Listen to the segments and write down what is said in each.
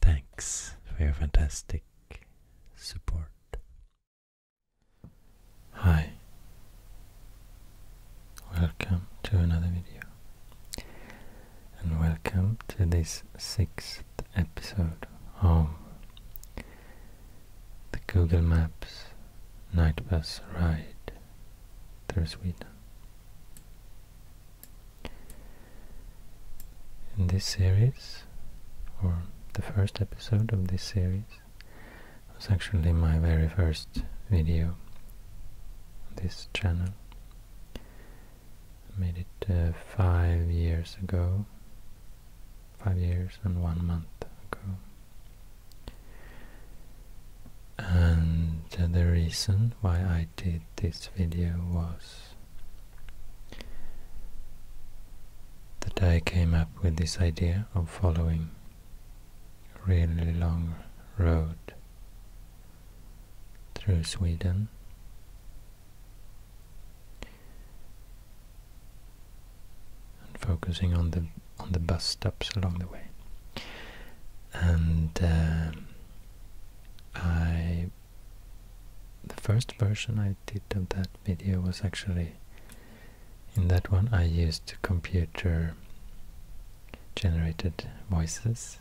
Thanks for your fantastic support. Hi, welcome to another video, and welcome to this sixth episode of the Google Maps night bus ride through Sweden. In this series, or the first episode of this series, was actually my very first video on this channel. made it uh, five years ago, five years and one month ago. And the reason why I did this video was the day came up with this idea of following a really long road through Sweden. and Focusing on the on the bus stops along the way, and um, I the first version I did of that video was actually in that one I used computer generated voices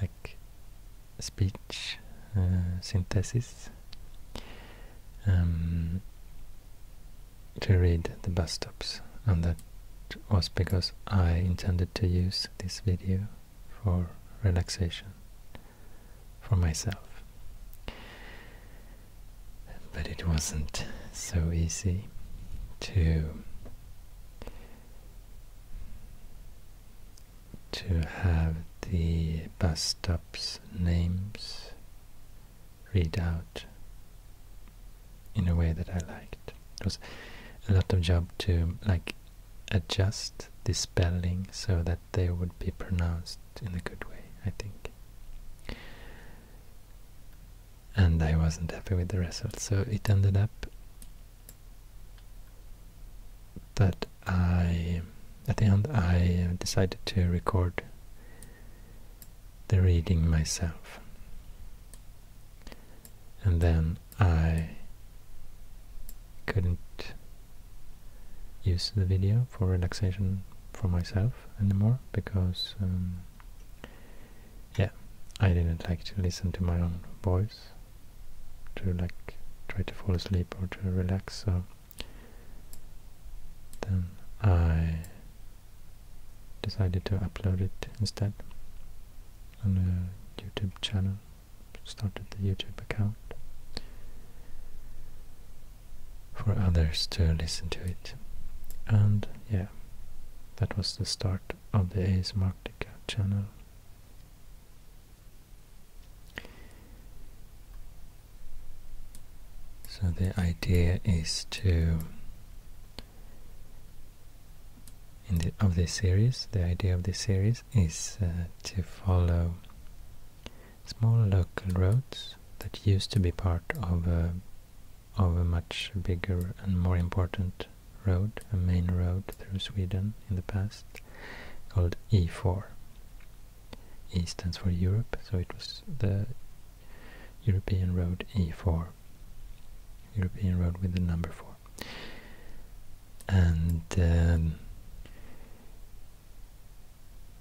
like speech uh, synthesis um, to read the bus stops and that was because I intended to use this video for relaxation for myself. But it wasn't so easy to to have the bus stops names read out in a way that I liked. It was a lot of job to like adjust the spelling so that they would be pronounced in a good way, I think. And I wasn't happy with the result, so it ended up that I, at the end, I decided to record the reading myself. And then I couldn't use the video for relaxation for myself anymore because um, yeah I didn't like to listen to my own voice to like try to fall asleep or to relax so then I decided to upload it instead on a YouTube channel started the YouTube account for others to listen to it. And yeah, that was the start of the ASMarctica channel. So the idea is to of this series, the idea of this series is uh, to follow small local roads that used to be part of a much bigger and more important road, a main road through Sweden in the past, called E4. E stands for Europe, so it was the European Road E4, European Road with the number 4 and um,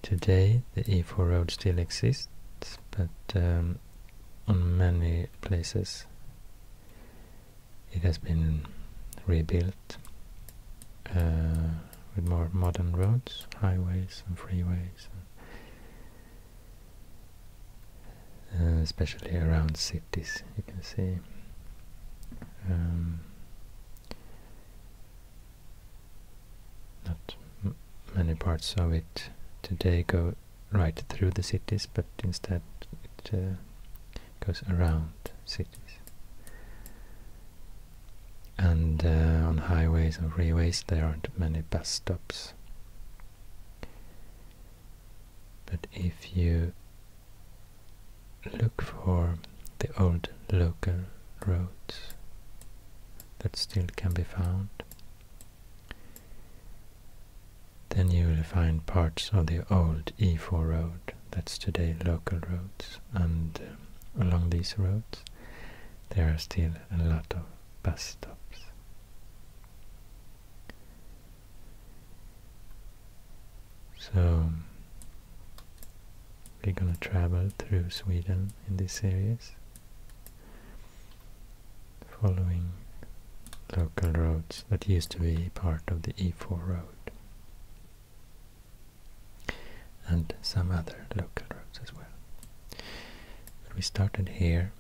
today the E4 road still exists but um, on many places it has been rebuilt uh, with more modern roads, highways and freeways uh, especially around cities, you can see. Um, not many parts of it today go right through the cities, but instead it uh, goes around cities. And uh, on highways and railways, there aren't many bus stops. But if you look for the old local roads that still can be found. Then you will find parts of the old E4 road, that's today local roads, and um, along these roads there are still a lot of bus stops. So we're gonna travel through Sweden in this series, following local roads that used to be part of the E4 road and some other local roads as well. we started here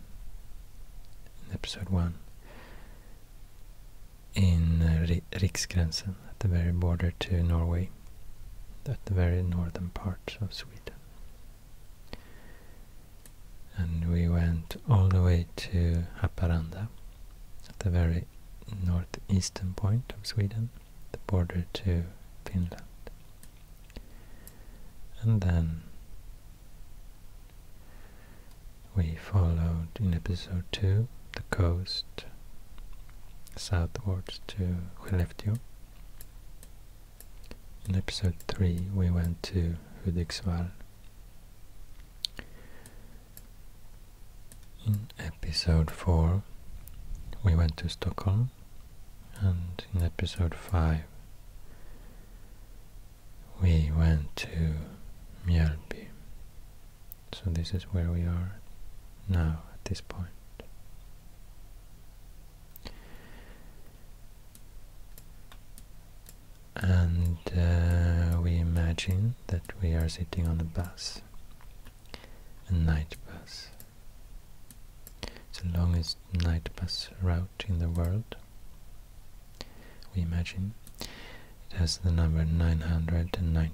in episode 1 in uh, Riksgränsen, at the very border to Norway, at the very northern part of Sweden. And we went all the way to Haparanda, at the very northeastern point of Sweden, the border to Finland. And then we followed in episode 2 the coast southwards to Skellefteå. In episode 3 we went to Hudiksvall. In episode 4 we went to Stockholm and in episode 5 we went to Mjölby. So this is where we are now at this And uh, we imagine that we are sitting on a bus, a night bus. the longest night bus route in the world we imagine. It has the number 999.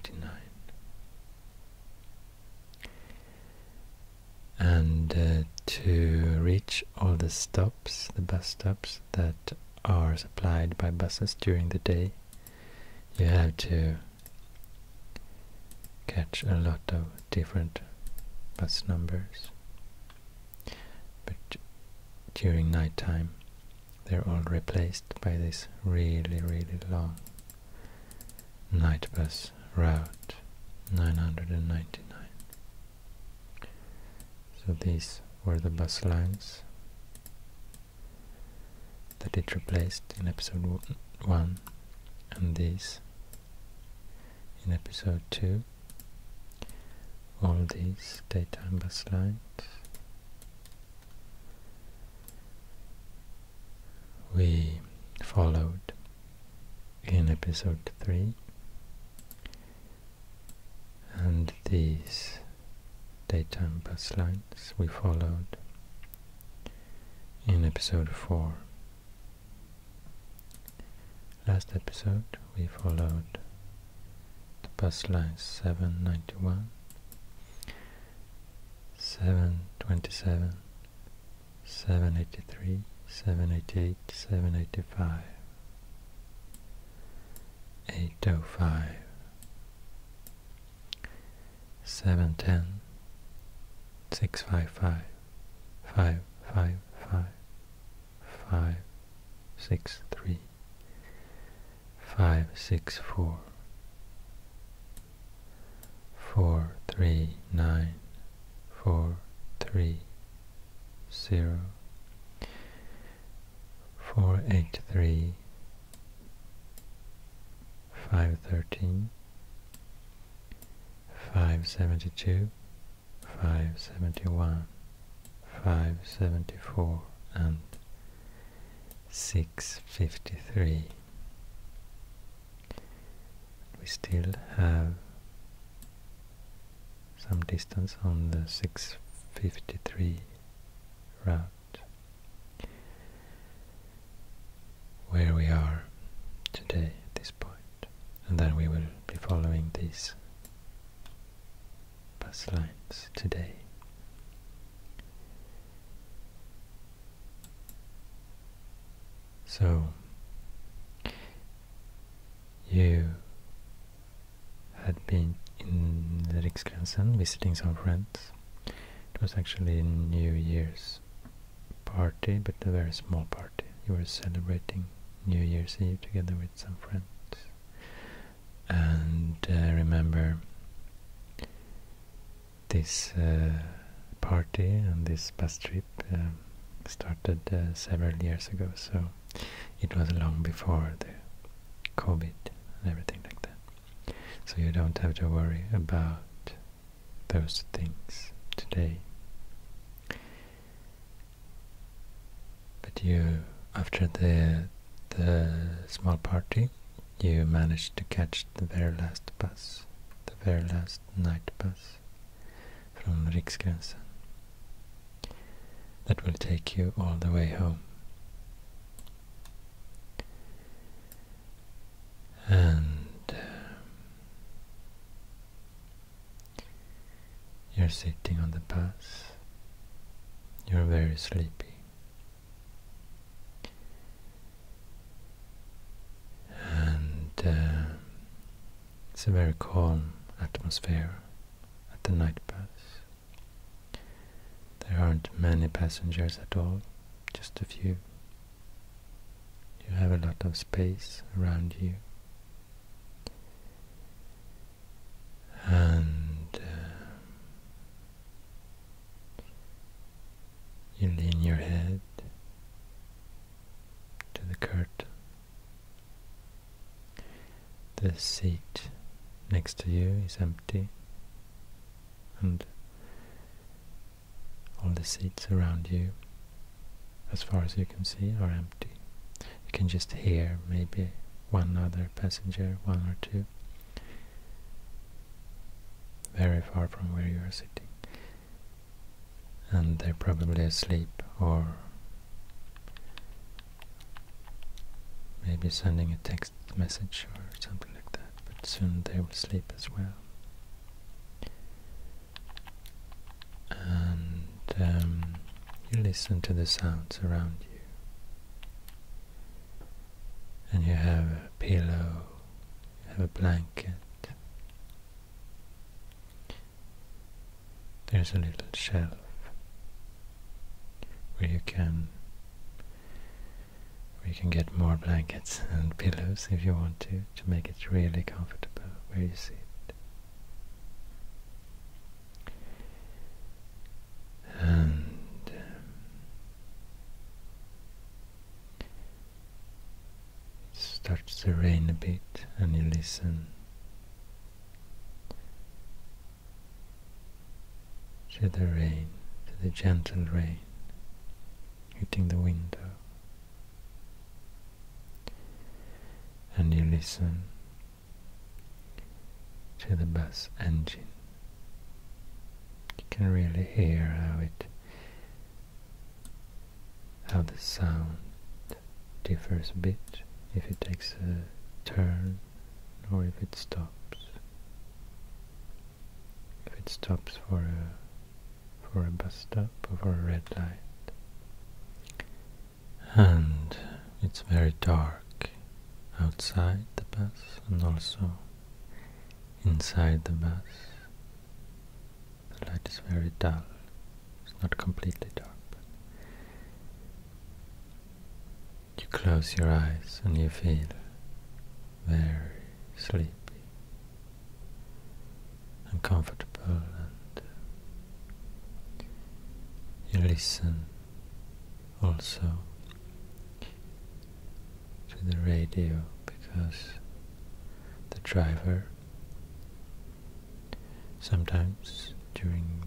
And uh, to reach all the stops, the bus stops that are supplied by buses during the day, you have to catch a lot of different bus numbers. But during nighttime, they're all replaced by this really, really long night bus route 999. So these were the bus lines that it replaced in episode 1 and these in episode 2 all these daytime bus lines we followed in episode 3 and these daytime bus lines we followed in episode 4 last episode we followed the bus lines 791 727, 783, 788, 785, 805, 710, 655, 555, 563, three nine. Four three. Zero. Four eight five six four four three nine four three zero four eight three five thirteen five seventy two five seventy one five seventy four and 653. We still have some distance on the 653 route where we are today at this point and then we will be following this bus lines today. So you had been in Riksgränsen visiting some friends. It was actually a New Year's party, but a very small party. You were celebrating New Year's Eve together with some friends and uh, remember this uh, party and this bus trip um, started uh, several years ago, so it was long before the COVID and everything like that. So you don't have to worry about those things today. But you, after the the small party, you managed to catch the very last bus, the very last night bus from Riksgränsen. That will take you all the way home. And um, you're sitting on the bus, you're very sleepy and uh, it's a very calm atmosphere at the night bus. There aren't many passengers at all, just a few. You have a lot of space around you. And uh, you lean your head to the curtain. The seat next to you is empty, and all the seats around you, as far as you can see, are empty. You can just hear maybe one other passenger, one or two very far from where you are sitting. And they're probably asleep or maybe sending a text message or something like that, but soon they will sleep as well. And um, you listen to the sounds around you and you have a pillow, you have a blanket. There's a little shelf where you can where you can get more blankets and pillows if you want to to make it really comfortable where you sit. And um, it starts to rain a bit and you listen to the rain, to the gentle rain hitting the window and you listen to the bus engine you can really hear how it how the sound differs a bit if it takes a turn or if it stops. If it stops for a for a bus stop or for a red light. And it's very dark outside the bus and also inside the bus. The light is very dull. It's not completely dark. you close your eyes and you feel very sleepy and comfortable and you listen also to the radio because the driver sometimes during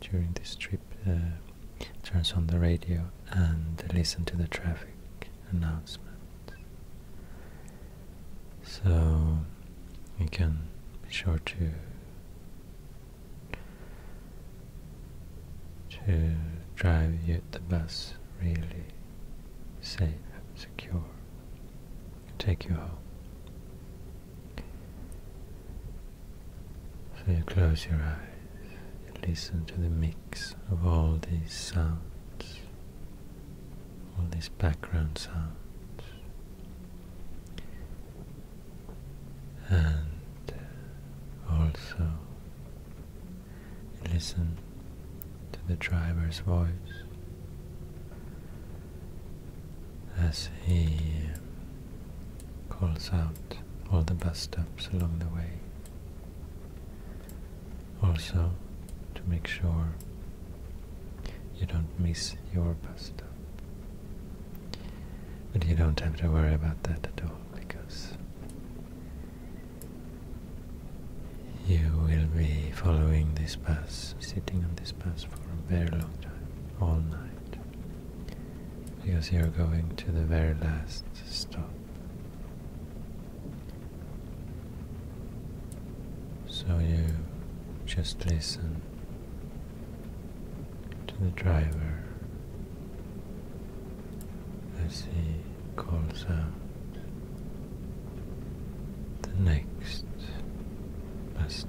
during this trip uh, turns on the radio and listen to the traffic announcements. so we can be sure to to drive you, to the bus really safe and secure take you home. So you close your eyes, you listen to the mix of all these sounds, all these background sounds. And also Listen to the driver's voice as he calls out all the bus stops along the way. Also, to make sure you don't miss your bus stop. But you don't have to worry about that at all because you will be following this bus, sitting on this bus for a very long time, all night, because you're going to the very last stop. So you just listen to the driver as he calls out the next bus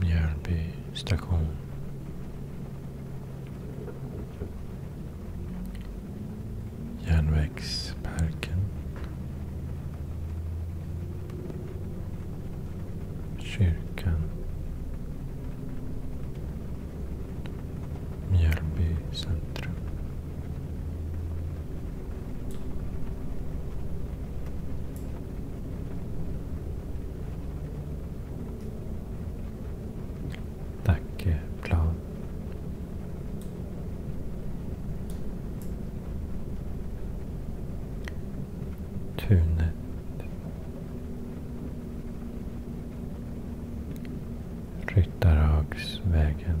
Mjölby station. Järnvägsparken. Kyrkan. Mjölby centrum. Nackeplan. Tunet. Ryttarhagsvägen.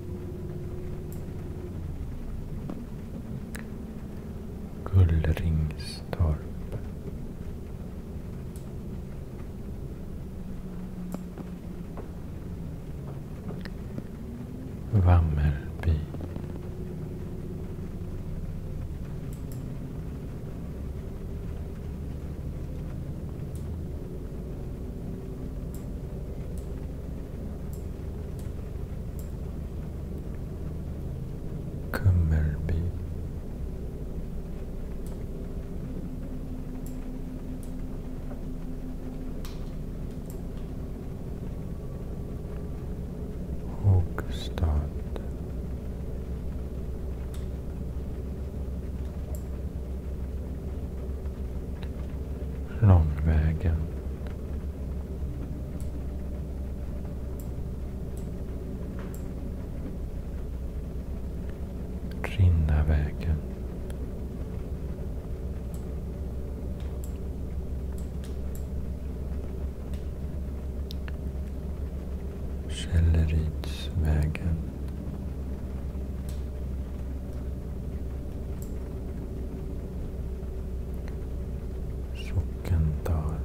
Gullringstorp. Vammerby. Kummerby. Håkstad. Långvägen. Rinnarvägen. Källeridsvägen. Sockendal.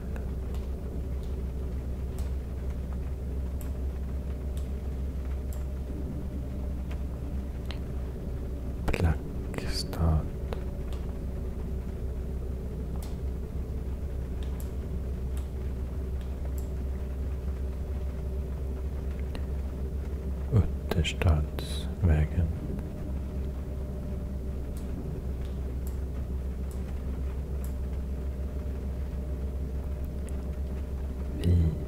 Blackstad. Utterstadsvägen.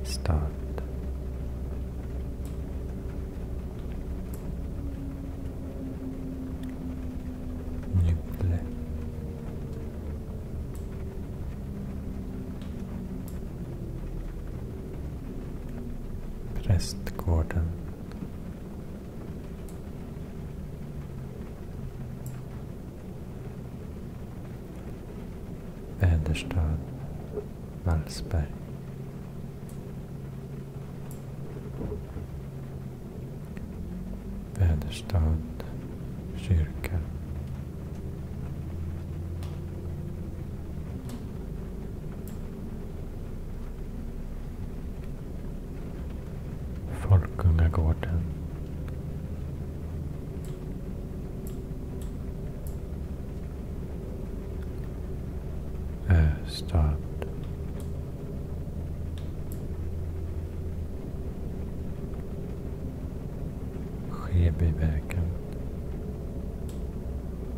Vistad. Nybble prästgården. Väderstad, Wallsberg. Väderstad, kyrka. Folkungagården. Östad. Skebyvägen.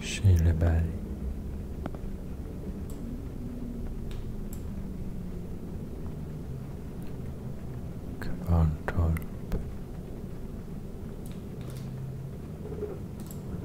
Kyleberg Kvarntorp.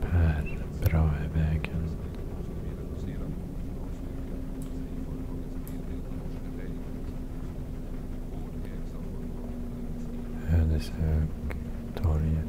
Per Brahevägen. Ödeshög, torget.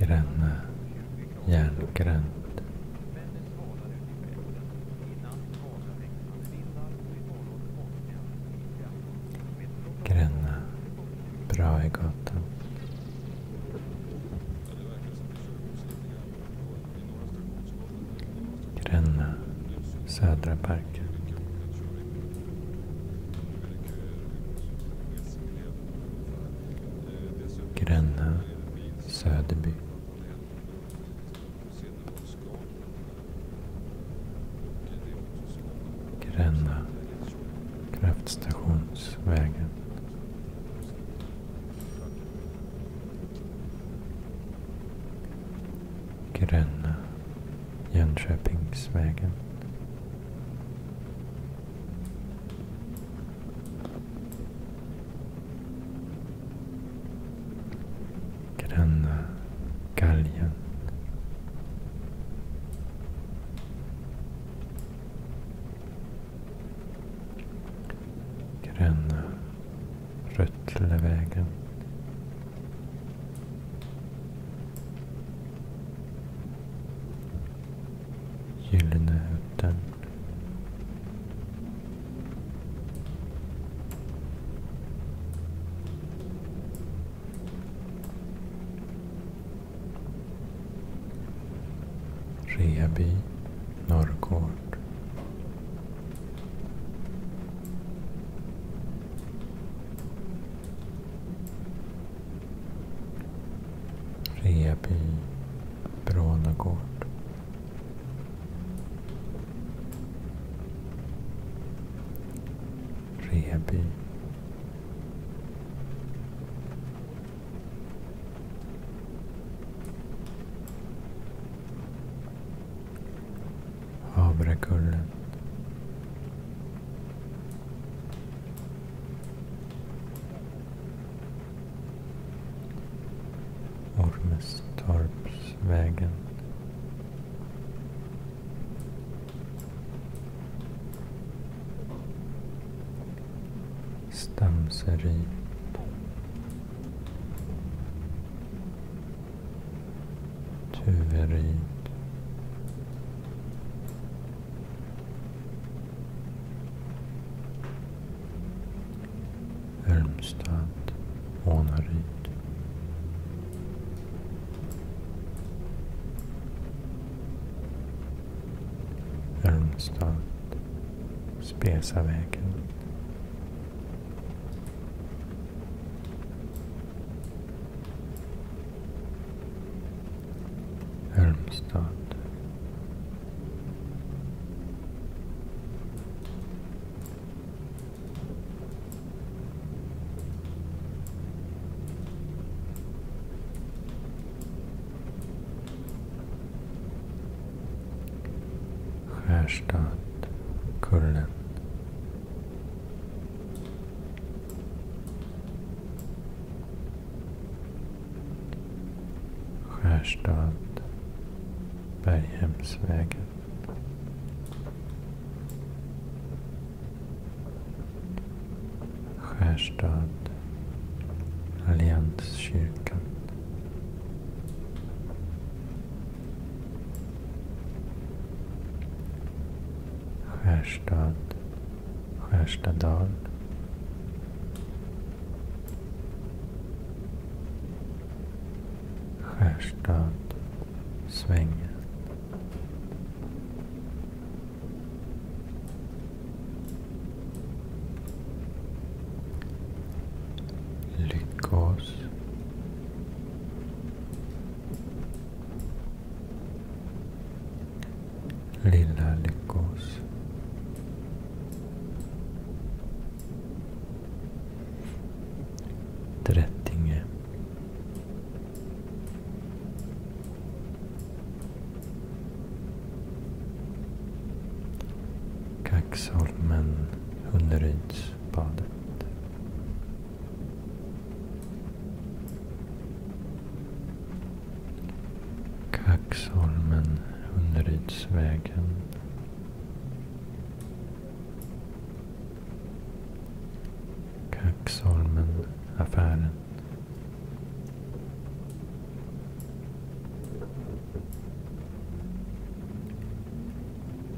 Gränna, järngränd. Gränna, Brahegatan. Gränna Södra parken Gränna Söderby. Gränna kraftstationsvägen. Gränna, Jönköpingsvägen. Gränna, Galgen. Gröna Röttlevägen. Gyllenehuten. Reby, Norrgård. Reby, Brånagård. Reby. Havrekullen. Ormestorpsvägen. Stamseryd. Tuveryd. Ölmstad, Ånaryd. Halmstad, Spesavägen. Halmstad. Skärstad, Kullen. Skärstad, Berghemsvägen. Skärstad, Allianskyrkan. Skärstad, Skärstadal. Skärstad, Svängen. Lyckås. Lilla Lyckås. Trättinge. Kaxholmen, Hunderydsbadet. Kaxholmen, hunnerydsvägen Kaxholmen, affären.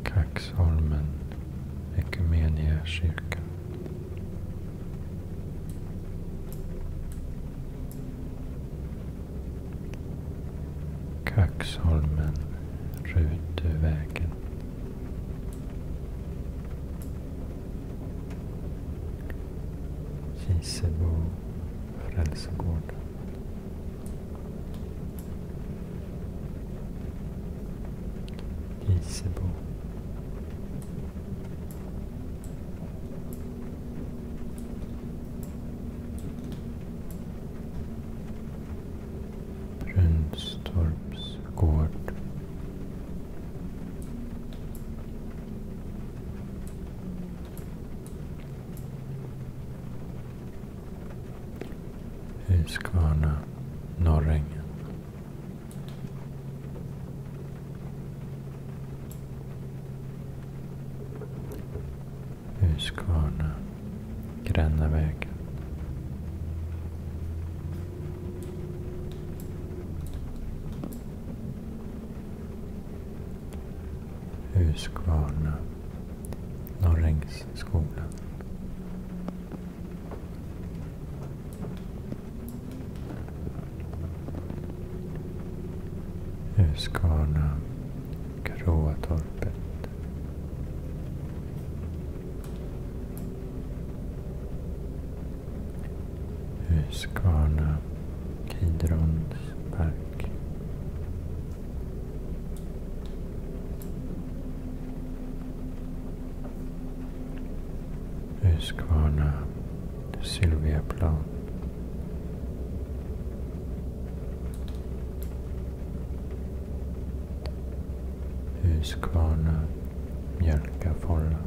Kaxholmen, Ekumeniakyrkan. Kaxholmen, Rutuvägen. Kisebo frälsegård. Kisebo. Brunstorps gård. Huskvarna, Norrängen. Huskvarna, Grännavägen. Huskvarna, Norrängsskolan. Huskvarna, Gråatorpet. Huskvarna park. Huskvarna Sylviaplan. Huskvarna Mjölkafålla.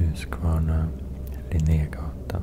Huskvarna, Linnégatan.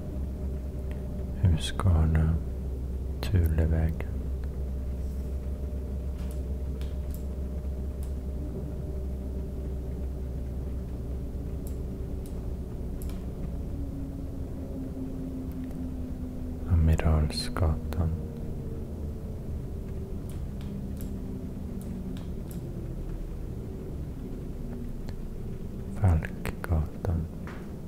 Huskvarna, Tulevägen. Amiralsgatan. Falkgatan.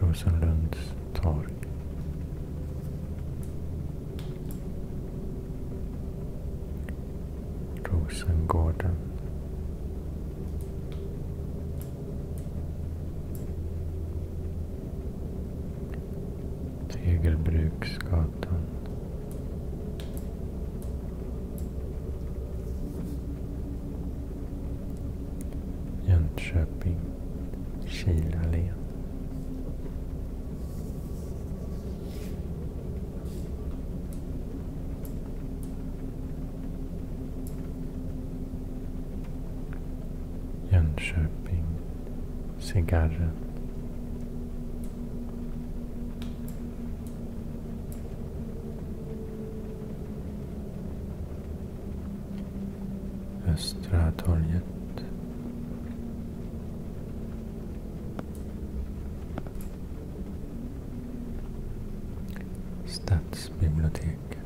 Rosenlunds torg. Rosengården. Tegelbruksgatan. Jönköping, Kilalen. Jönköping, Cigarren. Östra torget. Stadsbiblioteket.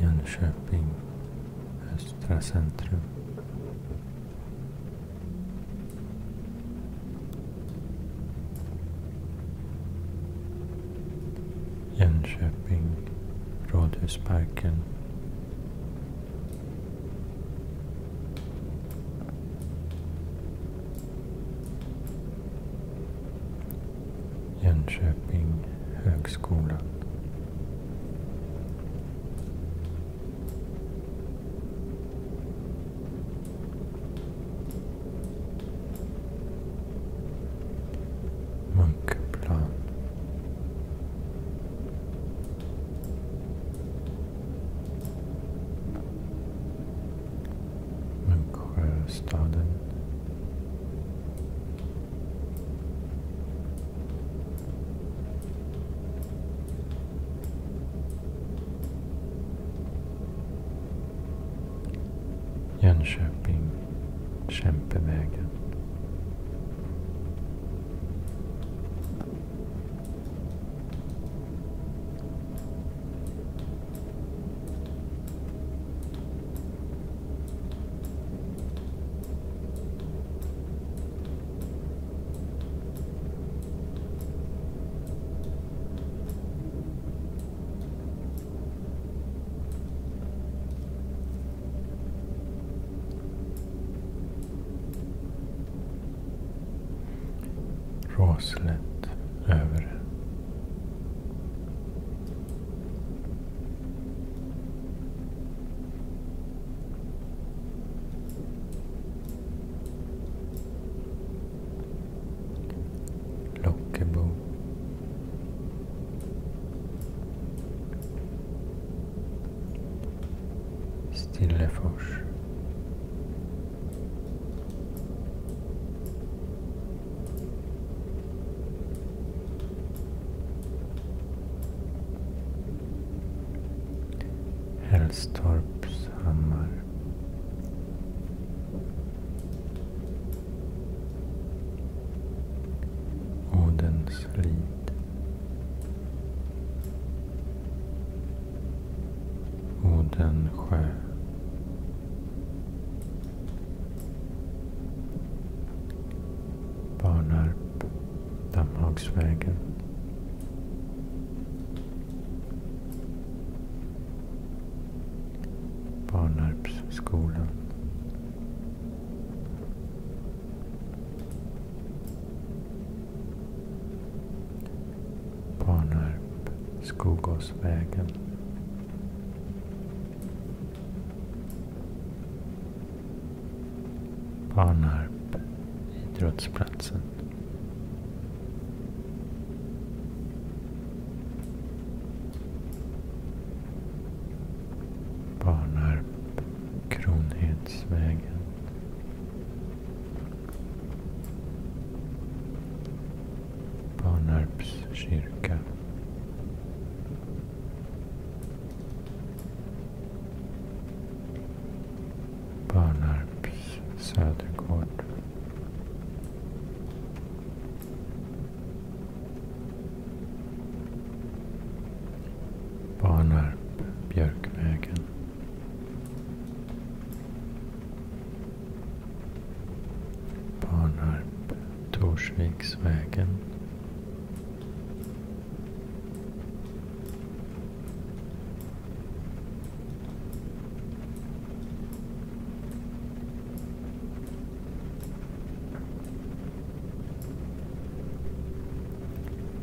Jönköping. Östra centrum. Jönköping, Rådhusparken. Jönköping, Högskolan. Munkeplan. Munksjöstaden. Jönköping, Kämpevägen. Raslet över Lockebo. Stillefors. Hällstorpshammar. Odenslid. Odensjö. Barnarp. Dammhagsvägen. Barnarpsskolan. Barnarp, Skogåsvägen. Barnarp, idrottsplatsen. Barnarp, Kronhedsvägen. Barnarps kyrka. Barnarps södergård. Barnarp, Björkvägen. Barnarp, Torsviksvägen.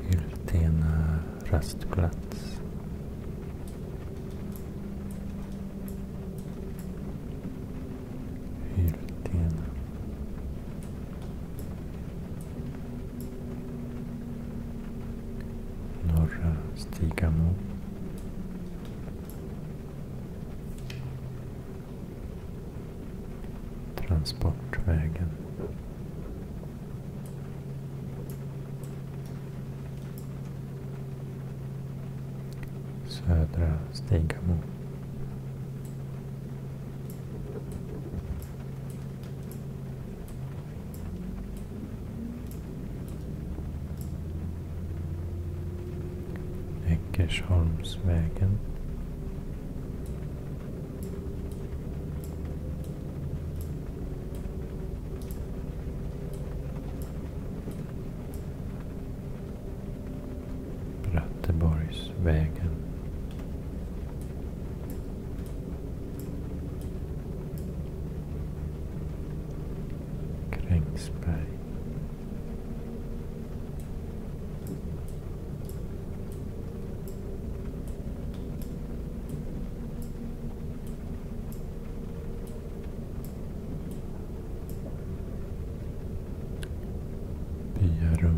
Hyltena rastplats. Hyltena. Norra Stigamo. Transportvägen. Södra Stigamo. Eckersholmsvägen. Bratteborgsvägen. Krängsberg. Byarum.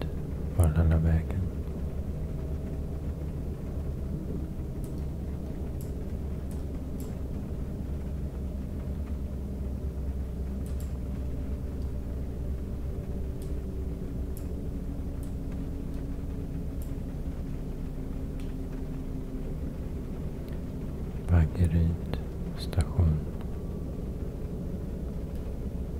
Dit var den lilla vägen. Vaggeryd station.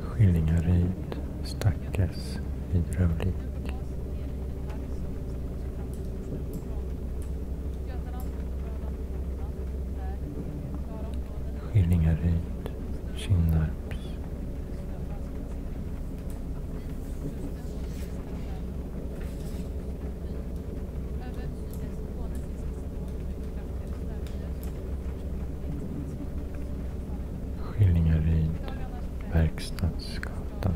Skillingaryd, Stackes, Vidrövlik. Skillingaryd, Kinnarps. Skillingaryd, Verkstadsgatan.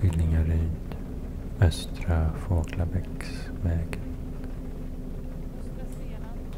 Skillingaryd, Östra Fåglabäcksvägen.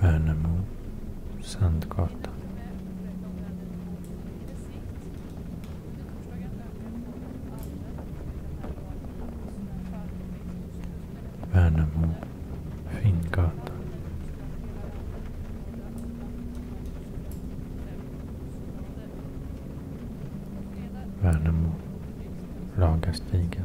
Värnamo, Sandgatan. Värnamo, Finngatan. Värnamo, Ragastigen.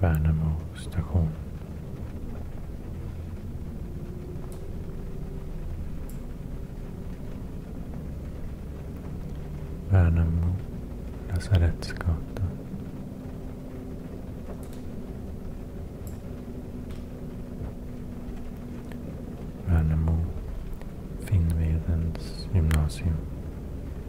Värnamo station. Värnamo lasarettsgata Värnamo Finnvedens gymnasium.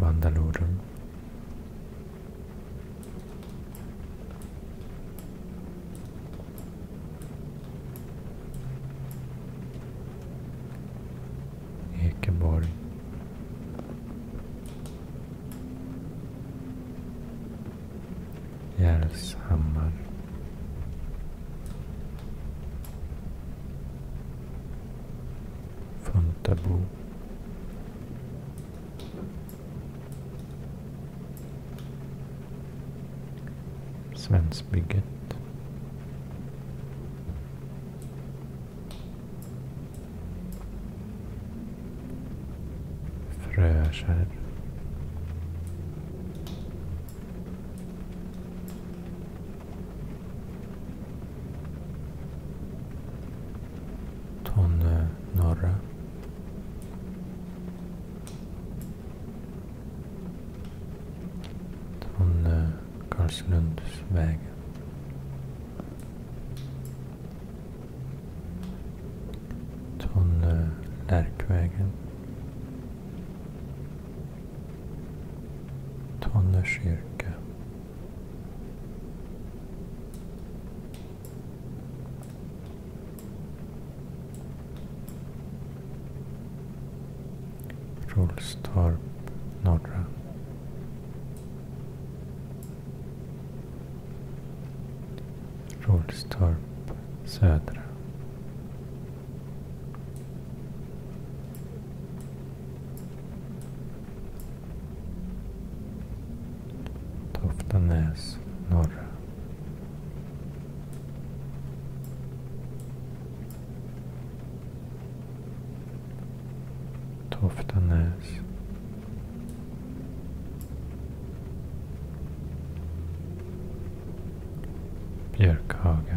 Vandalorum. Ekenborg. Järvshammar. Funtabo. Svensbygget. Fröskär. Tonne norra. Tonne Karlslundsvägen. Tonne Lärkvägen. Tonne kyrka. Rolstorp norra. Rolstorp södra. Toftanäs norra. Toftanäs. Björkhaga.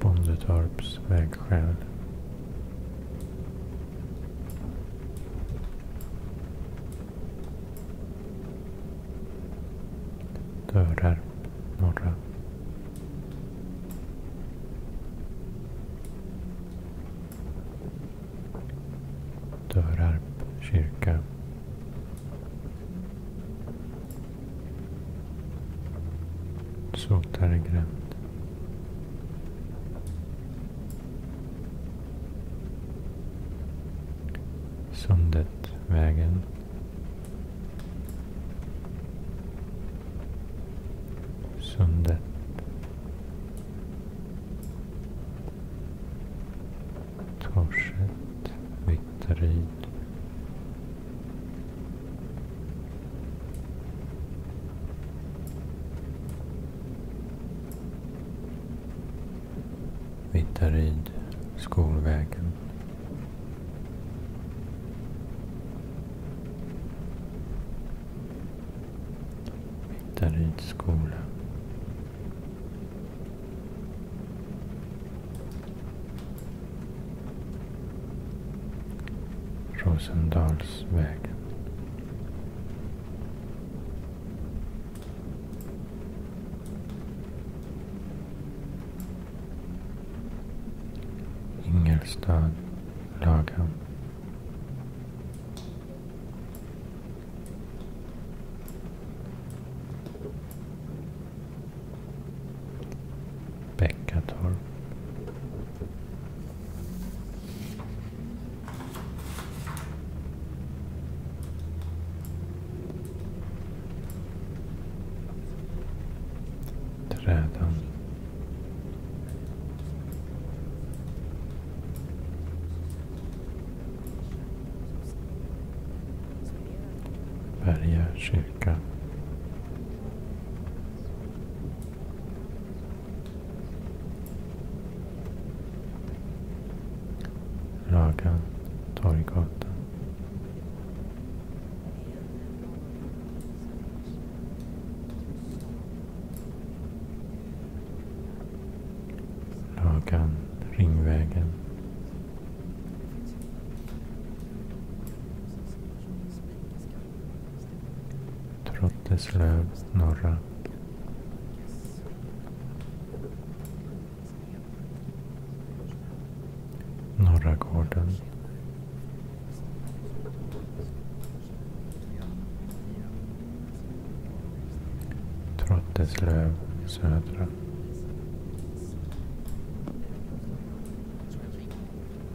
Bondetorps vägskäl. Dörrar, norra. Dörarp kyrka. Så, där Sundet, vägen. Sundet. Torset, Vittaryd. Vittaryd, Skolvägen. Vittaryds skola. Rosendalsvägen. Ingelstad, Lagan. Bäckatorp. Trädan. Berga kyrka. Ragan, Torggatan. Ragan, Ringvägen. Trotteslöv norra. Norra gården. Trotteslöv södra.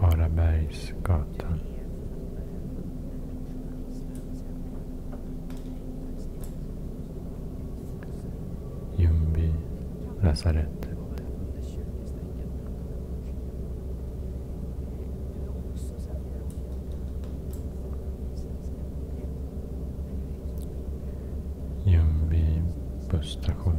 Harabergsgatan. Ljungby lasarettet. Ljungby busstation.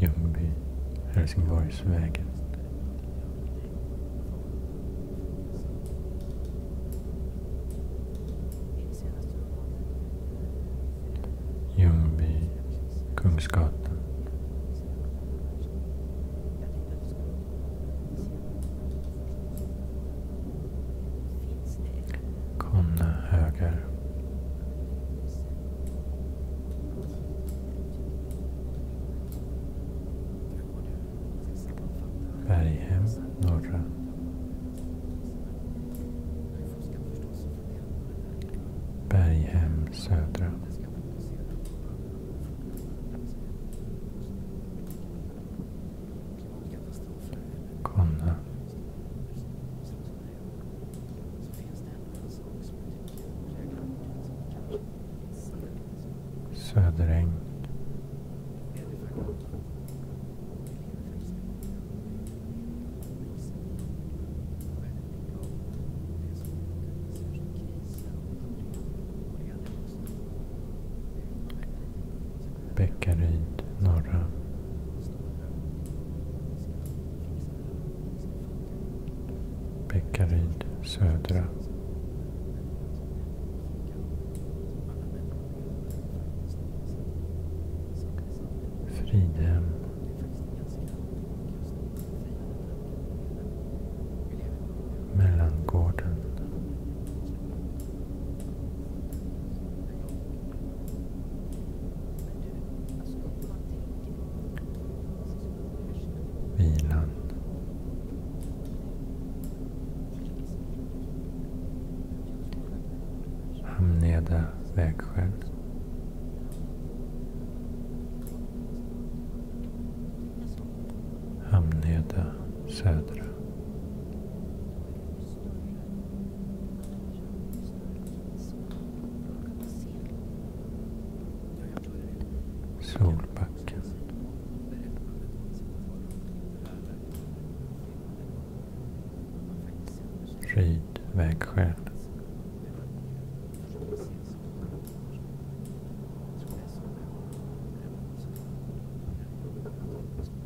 Ljungby, Helsingborgsvägen. Ljungby, Kungsgatan. Konne höger. Berghem norra. Berghem södra. Kom Söderäng. Bäckaryd norra. Bäckaryd södra. Fridhem. Mellangården. Vilan. Hamneda vägskäl. Hamneda södra. Solbacken. Ryd vägskäl.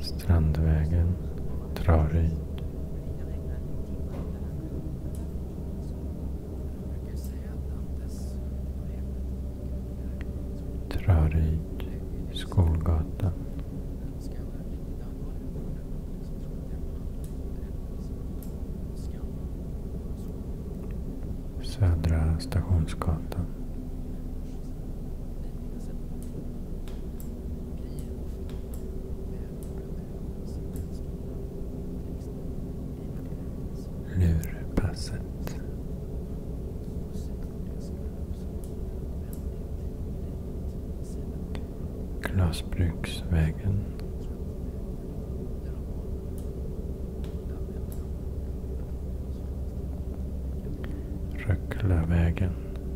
Strandvägen drar ut. Traryd, Skolgatan. Södra Stationsgatan. Lurpasset. Glasbruksvägen. Röcklavägen.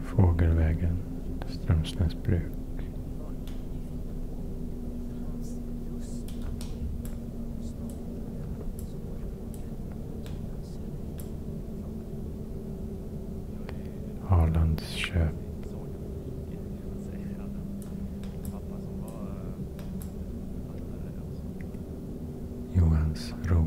Fågelvägen, Strömsnäsbruk. Arlandsköp. Johans ro.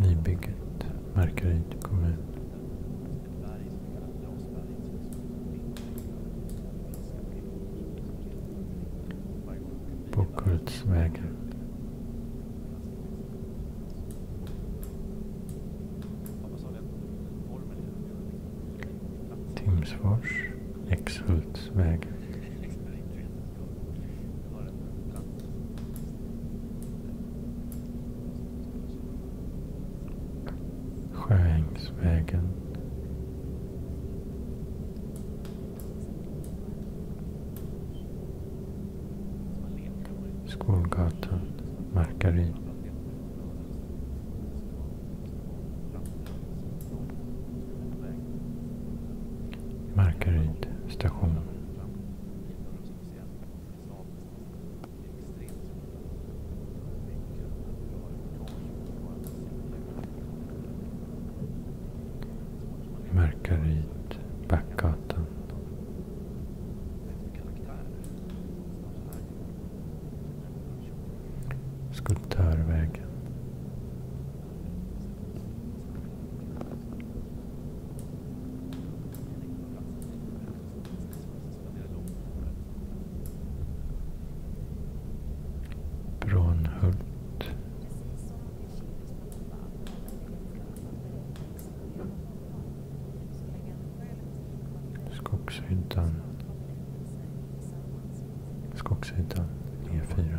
Nybygget, Markaryd kommun. Bockhultsvägen. Timsfors. Exhultsväg. Sjöängsvägen. Skolgatan, Markaryd. Markaryd station. Markaryd, Backgatan. Skulptörvägen. Branhult. Skogshyddan. Skogshyddan E4.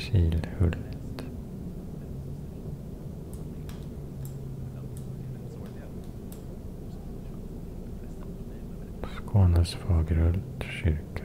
Kilhullet. Skånes Fagerhult kyrka.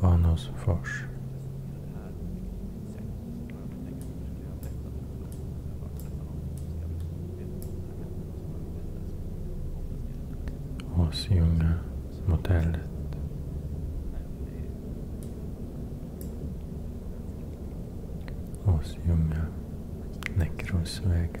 Anåsfors Åsjunga motellet Åsjunga Näckrosvägen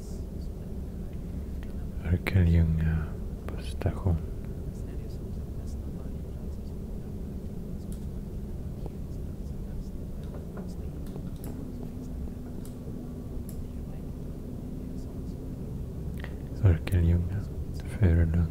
Örkelljunga busstation. Örkelljunga, Furulund.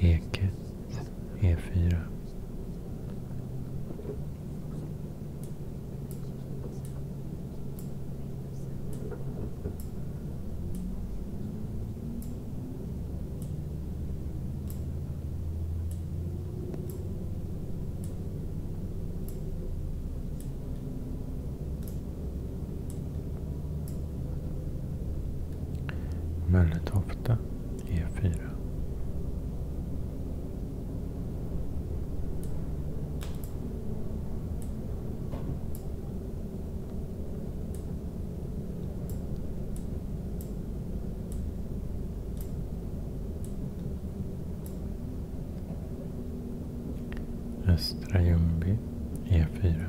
Eket E4. Mölletofta e E4. Östra Ljungby, E4.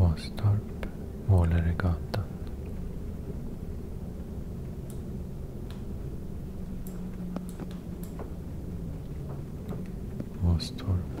Åstorp, Måleregatan. Åstorp,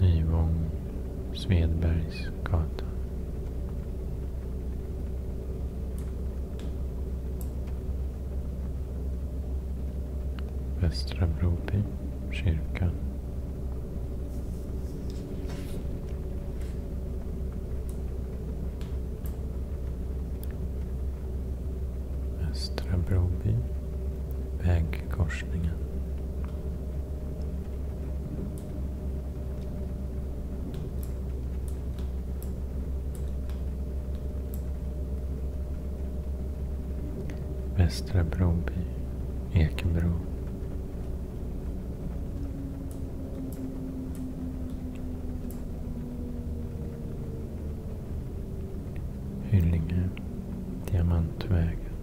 Nyvång, Svedbergsgatan. Västra Broby, kyrkan. Östra Broby, vägkorsningen. Västra Broby, Ekebro. Hyllinge, Diamantvägen.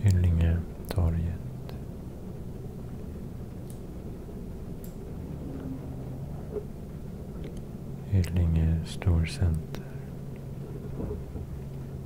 Hyllinge, torget. Hyllinge storcenter.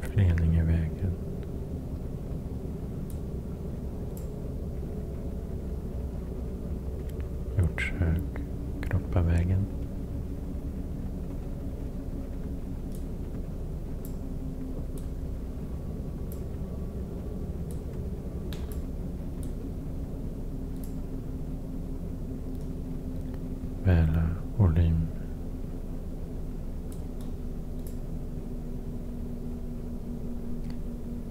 Fleningevägen. Hjortshög, Kroppavägen. Väla eh, och lim.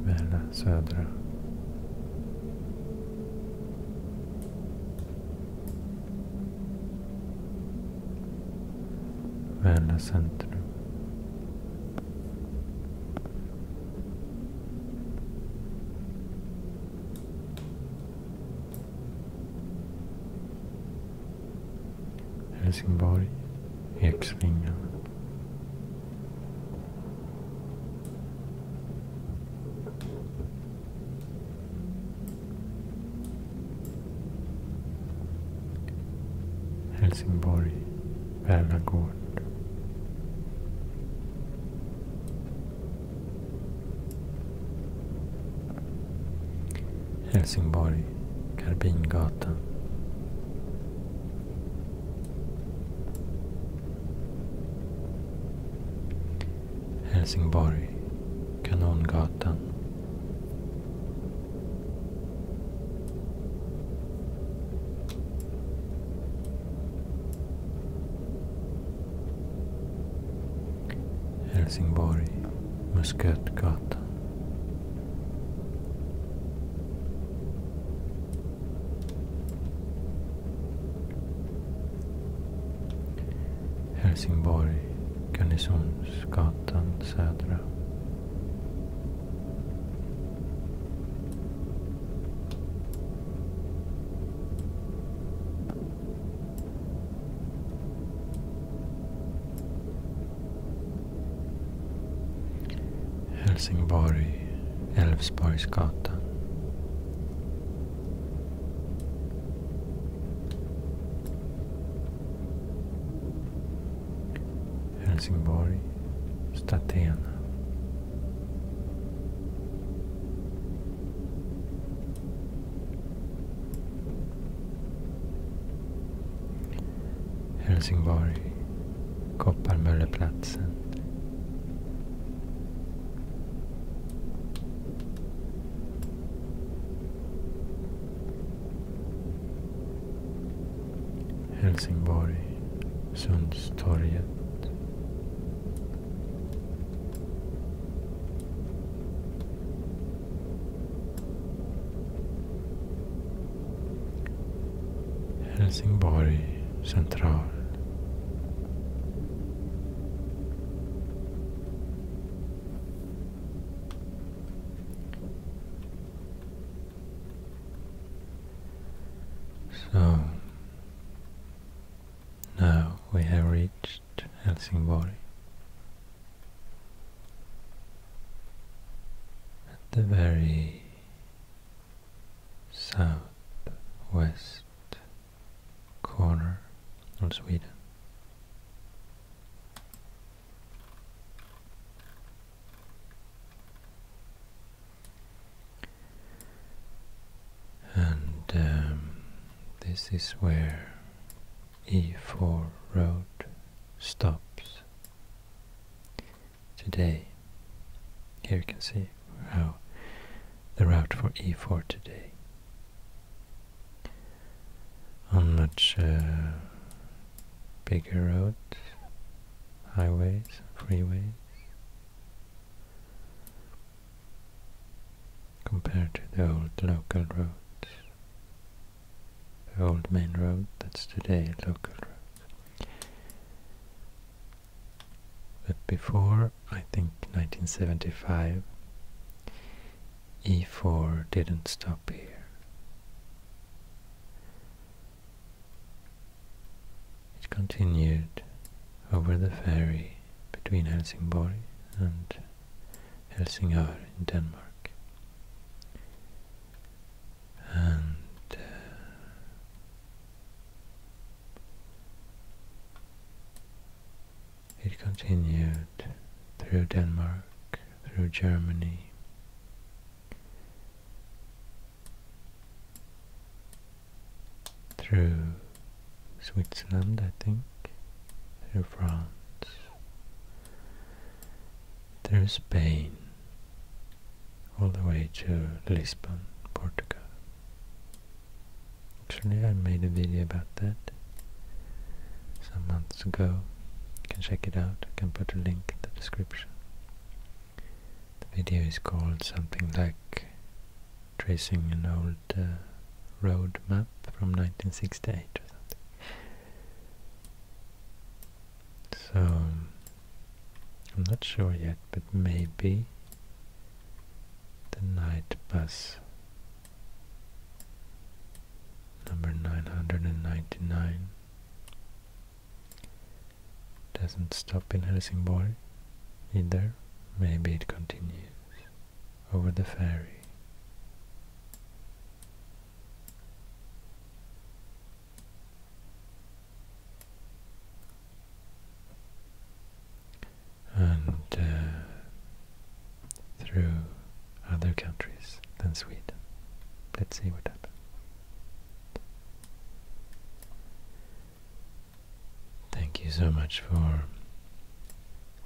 Väla eh, södra. Väla eh, centrum. Helsingborg, Eksvingen. Helsingborg, Värnagård. Helsingborg, Karbingatan. Helsingborg, Kanongatan. Helsingborg, Muskötgatan. Helsingborg, Garnisonsgatan södra. Helsingborg, Älvsborgsgatan. Helsingborg, Statena. Helsingborg, Kopparmölleplatsen. Helsingborg, Sundstorget. Helsingborg central. So now we have reached reached Helsingborg. At the very southwest corner of Sweden. And um, this is where E4 road stops. Today, here you can see how the route for E4 today. On much uh, bigger roads, highways, freeways, compared to the old local roads, the old main road that's today local road. But before, I think 1975, E4 didn't stop here. It continued over the ferry between Helsingborg and Helsingør in Denmark. And uh, it continued through Denmark, through Germany. Through Switzerland, I think, through France, through Spain, all the way to Lisbon, Portugal. Actually, I made a video about that some months ago. You can check it out. I can put a link in the description. The video is called something like tracing an old uh, road map from 1968 or something. So, I'm not sure yet, but maybe the night bus number 999 doesn't stop in Helsingborg either. Maybe it continues over the ferry. and uh, through other countries than Sweden. Let's see what happens. Thank you so much for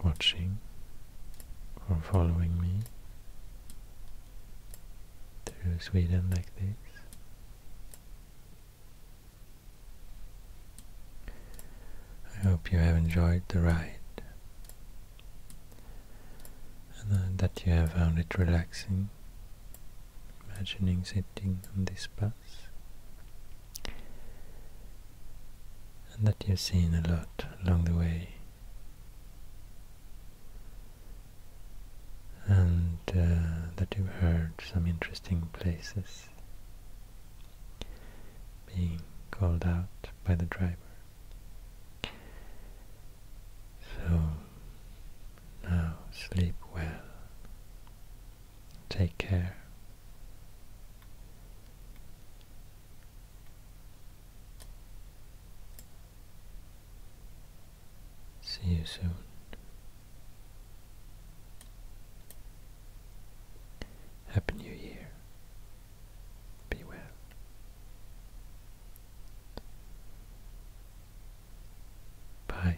watching or following me through Sweden like this. I hope you have enjoyed the ride and uh, that you have found it relaxing imagining sitting on this bus and that you've seen a lot along the way. And uh, that you've heard some interesting places being called out by the driver. So now sleep well, take care. See you soon. Happy New Year. Be well. Bye.